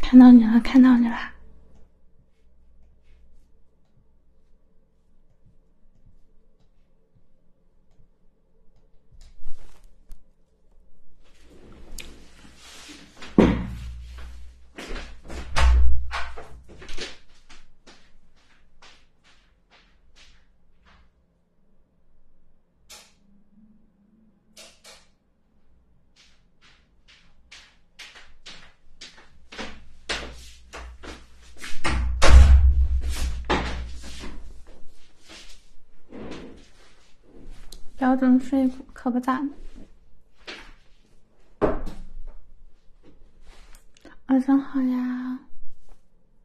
看到你了，看到你了。标准睡服可不咋的。晚上好呀。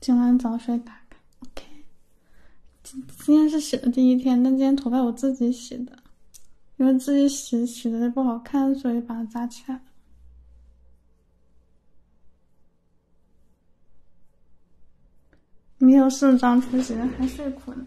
今晚早睡，打开。O K，今今天是洗的第一天，但今天头发我自己洗的，因为自己洗洗的不好看，所以把它扎起来了。没有四张出席，还睡困。呢。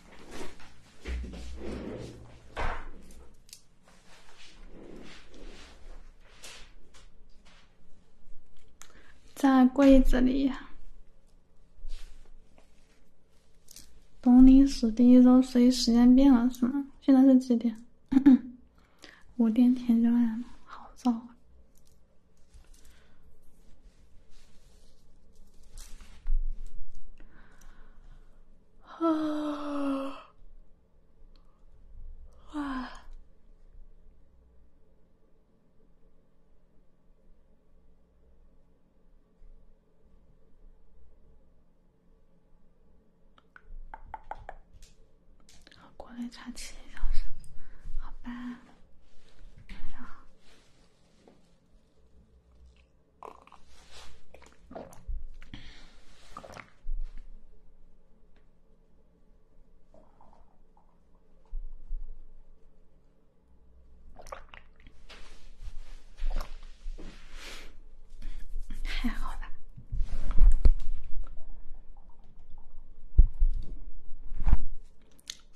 在柜子里。铜陵时第一周随时间变了是吗？现在是几点？五点天就暗了，好早啊。啊啊！国内差七小时，好吧，晚上好。还好吧。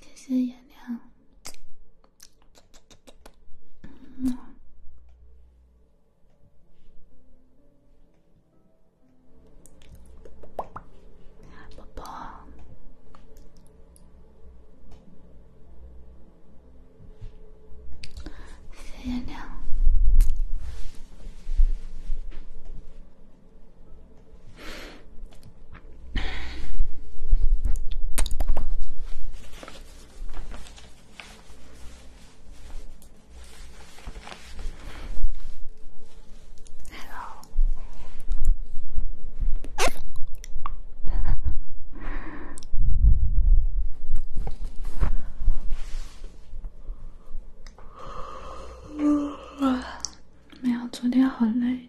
谢谢颜亮。宝宝，点亮。没有，昨天好累。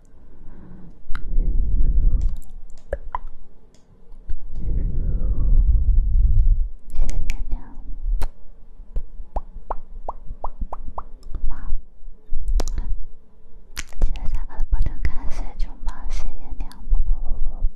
谢炎亮，妈，记得下班保证按时上班。谢炎亮，宝宝，宝宝。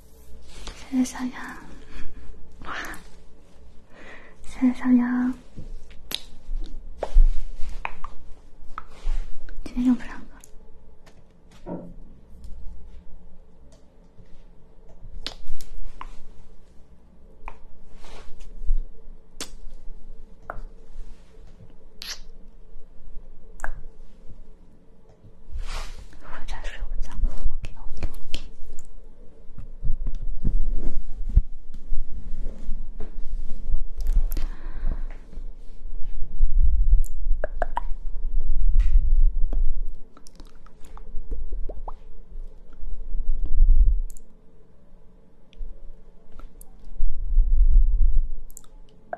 谢谢小杨，哇！谢谢小杨，今天用不上我在睡午觉。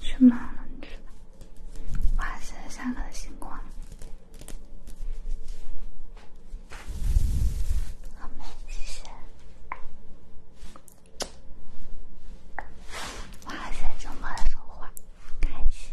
去哪了去？哇！谢谢上的星光，好美，谢谢。哇！这么说话。开心。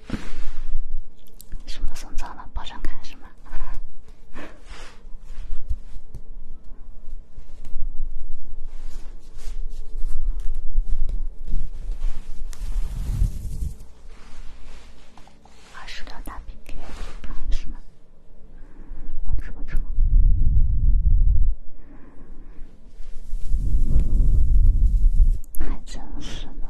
什么送走了？保准开是吗？二十秒打 PK 是吗？我直播还真是呢。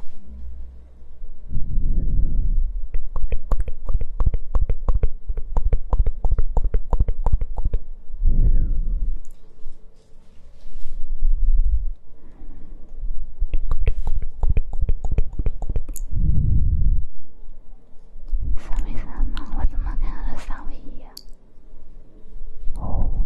三米三吗？我怎么看到三米一啊？哦。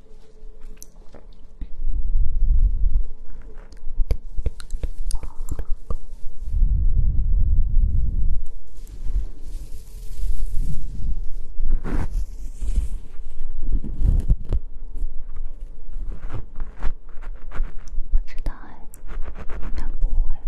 不知道哎，应该不会吧。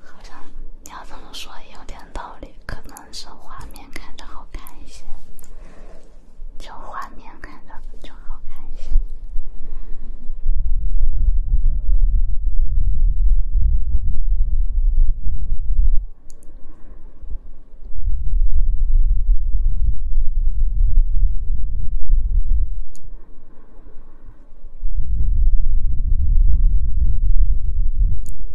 好像你要这么说也有点道理，可能是画面看着好看一些，就画面看着就好看一些。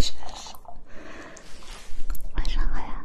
确实，晚上好呀。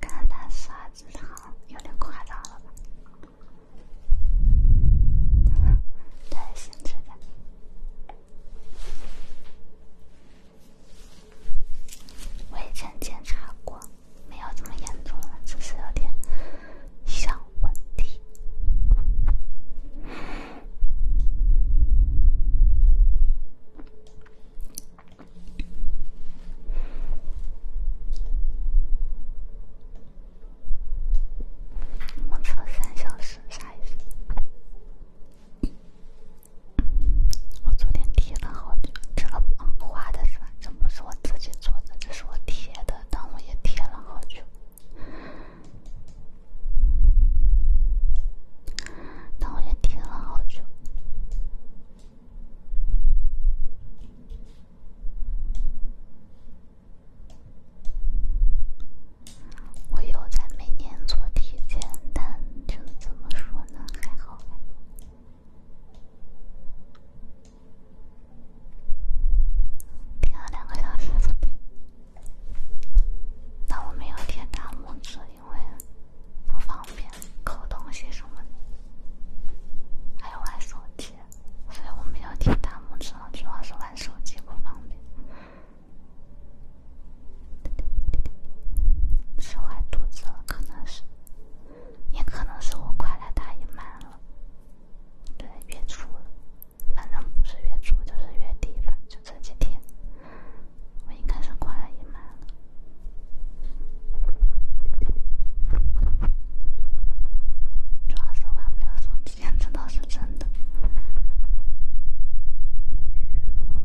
看他刷子糖，有点夸张了吧？再细致点。我也曾检查过，没有这么严重了，只是有点小问题。目测三小时，啥意思？我昨天贴了好久，这个画的是，反正不是我自己做的，这是我贴的，但我也贴了好久，但我也贴了好久，我又在每年做体检，但。就怎么说呢，还好还好。吧。了两个小时，但我没有贴大拇指，因为不方便抠东西什么，的。还有玩手机，所以我没有贴大拇指，主要是玩手机不方便。是坏肚子了，可能是，也可能是我快来大姨妈了。对，月初了，反正不是月初就是月底了，就这几天，我应该是快来姨妈了。抓手感不了，兄弟，这倒是真的。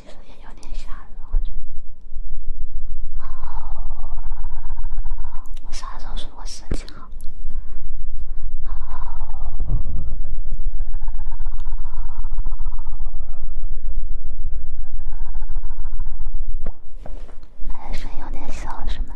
其实也有点吓人，我觉得。啊，我啥时候说我身体好？啊，声音有点小，是吗？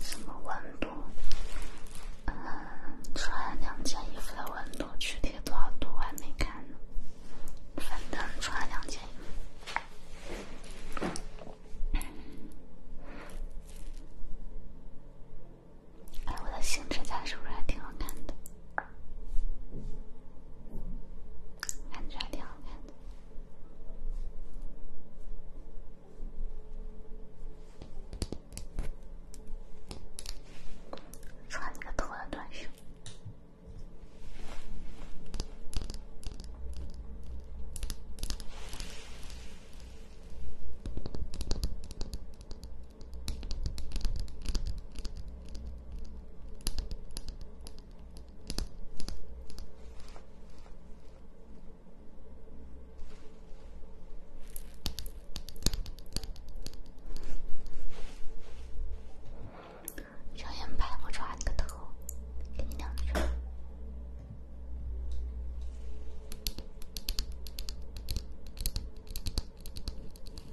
什么温度？嗯，穿两件衣服的温度具体多少度？我还没看呢。反正穿两件衣服。哎，我的新指甲是不是还挺好看的？感觉还挺好看的。穿个拖的短袖。睁眼白，我抓你个头！给你两根。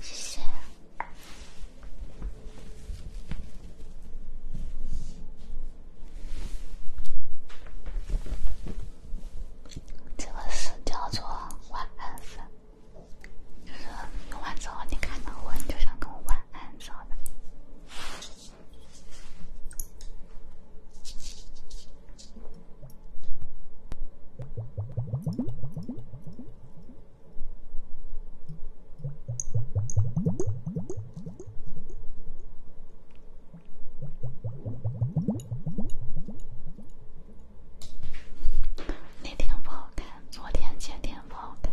谢谢。这个是叫做“晚安”，就是用完之后你看到我，你就想跟我“晚安”啥的。那天不好看，昨天、前天不好看。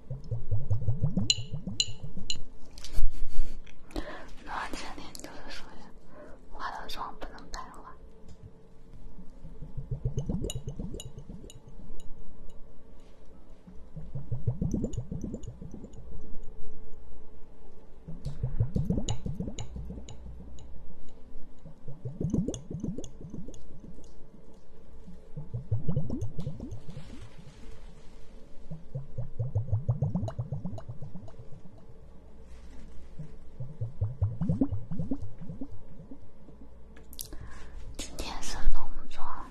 我今天就是属于化的妆不能白化。今天是农庄。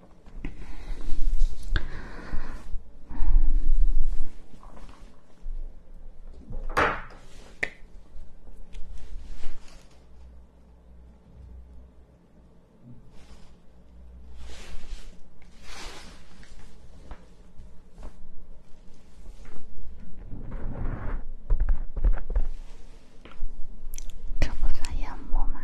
这不算淹没吗？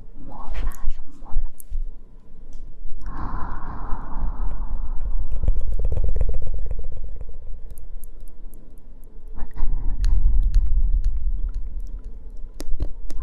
魔法，魔法。啊，晚安。好。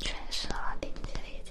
诠释了，理解理解。